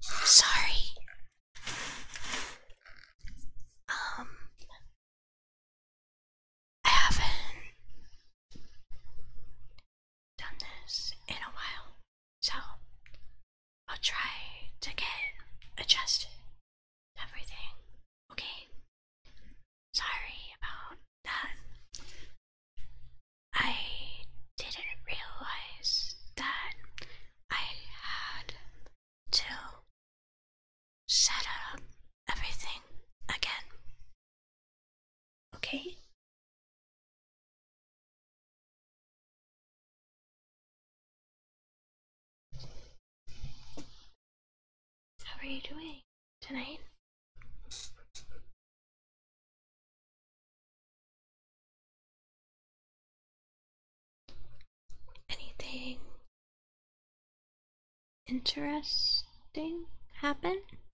Sorry. Um, I haven't done this in a while, so I'll try to get adjusted everything. Okay? Sorry about that. I didn't realize that I had to set up everything again. Okay? How are you doing tonight? Anything interesting happen?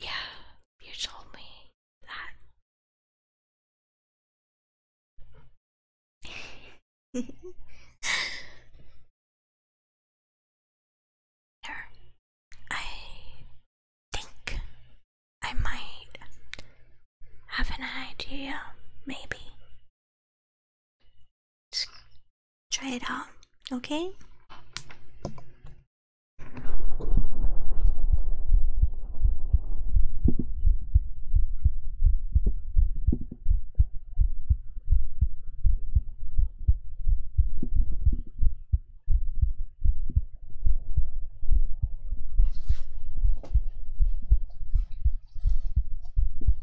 Yeah, you told me that. There. I think I might have an idea, maybe try it out, okay?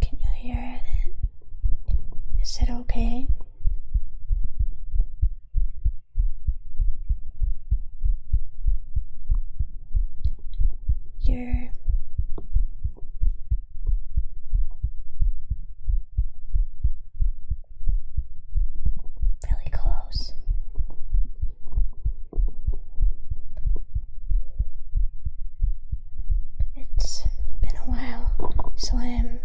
Can you hear it? Is it okay? Your really close. It's been a while, so I'm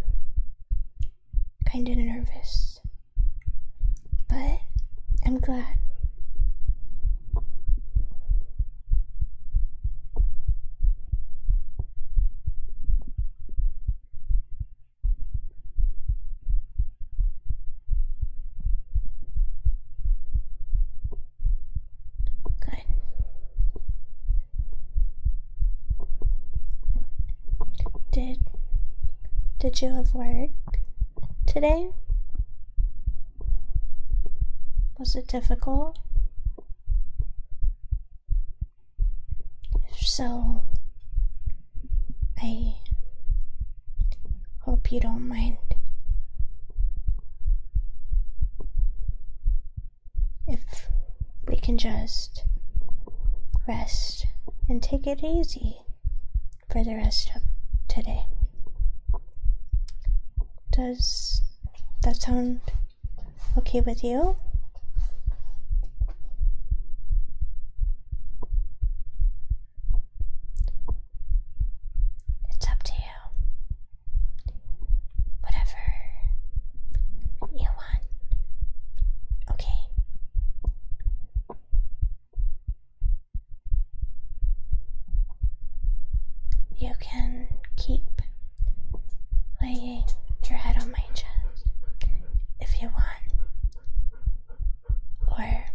kind of nervous, but I'm glad. Good. Did did you have work today? Was it difficult? If so, I hope you don't mind if we can just rest and take it easy for the rest of today. Does that sound okay with you? It's up to you. Whatever you want. Okay. You can keep laying your head on my chest if you want. Or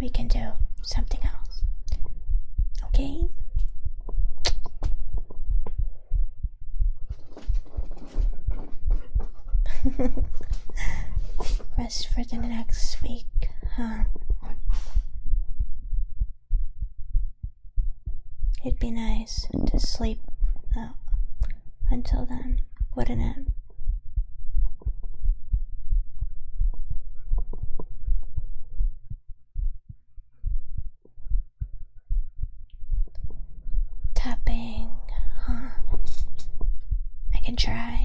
we can do something else. Okay? Rest for the next week, huh? It'd be nice to sleep uh, until then, wouldn't it? Tapping, huh? I can try.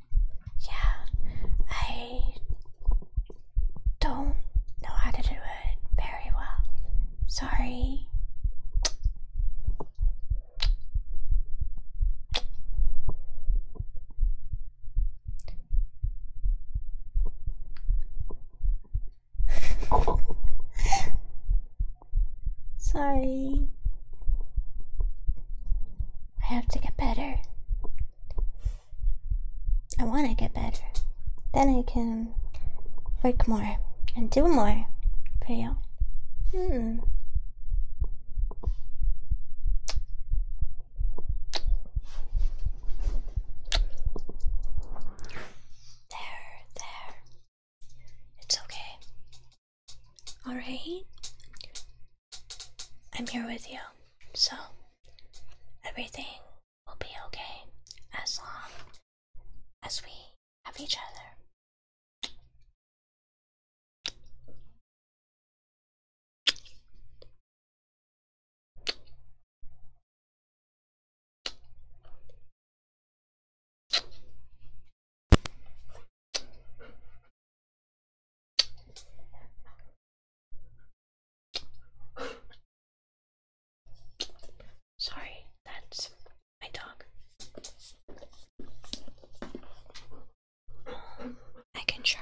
Yeah, I don't know how to do it very well. Sorry. Sorry. I have to get better. I want to get better. Then I can work more and do more for you. Hmm. There, there. It's okay. Alright? I'm here with you, so everything will be okay as long as we have each other. Sorry, that's my dog. I can try.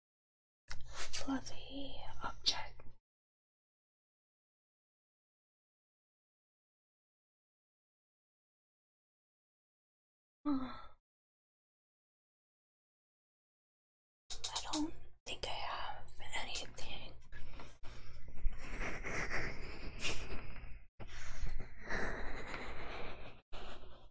fluffy object. I don't think I have anything.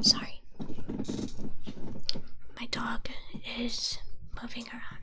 Sorry. My dog is moving around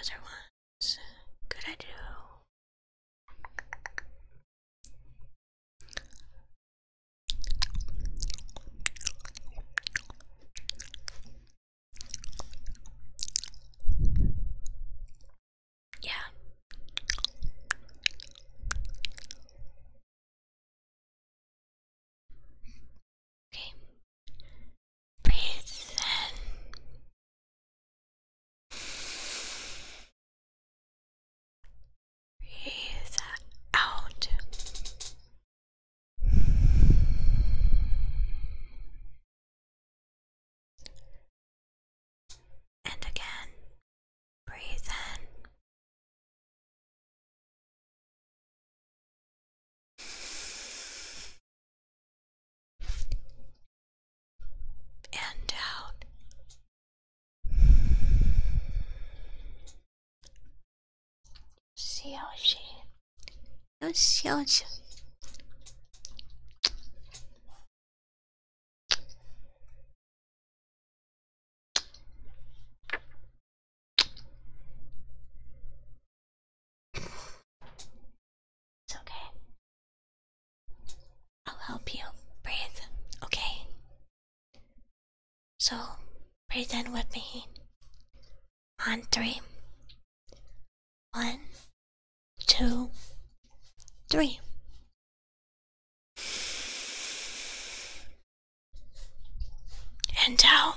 Other ones, good I do. Yeah. Okay. Please Breathe out. And again, breathe in. And out. 笑谁？要笑谁？It's okay. I'll help you breathe, okay? So pretend with me on three. One, And out.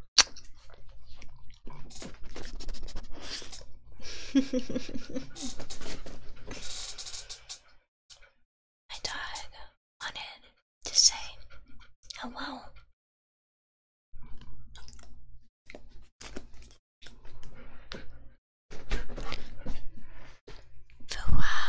My dog wanted to say hello. Fua, fua,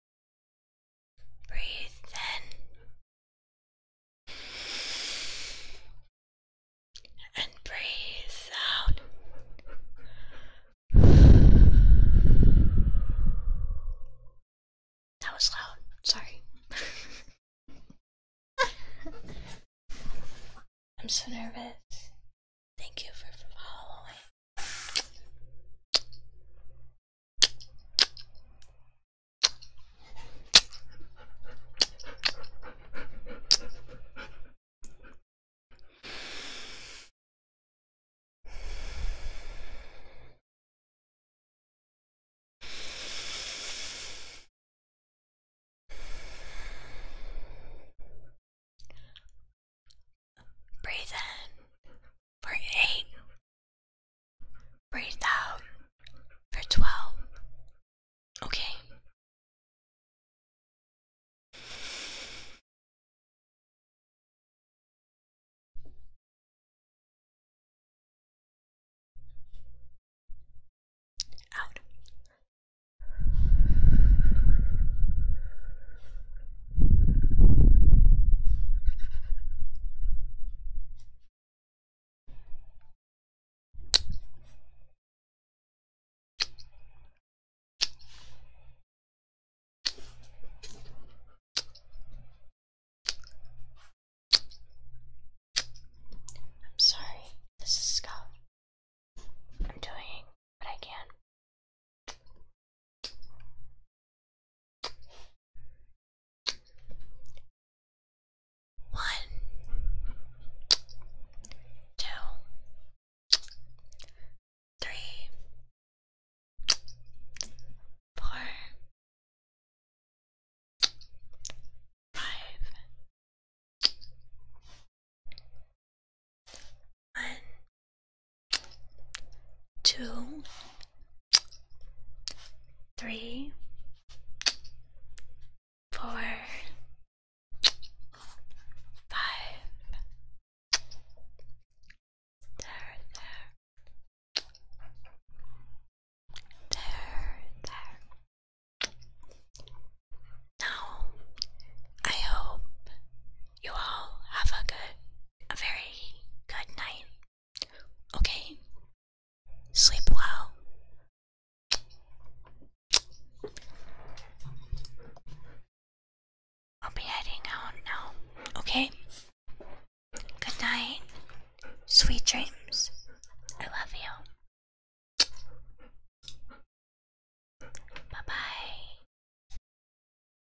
Breathe in and breathe out. That was loud. Sorry. I'm so nervous. Thank you for following. Breathe in for 8, breathe out for 12. Okay. Out. I'm sorry, this is Scott. I'm doing what I can. One, two, three, four, five, one, two, three, four, five. There, there. There, there. Now, I hope you all have a good a very good night. Okay? Sleep well. I'll be heading out now. Okay? Good night. Sweet dreams. I love you. Bye bye.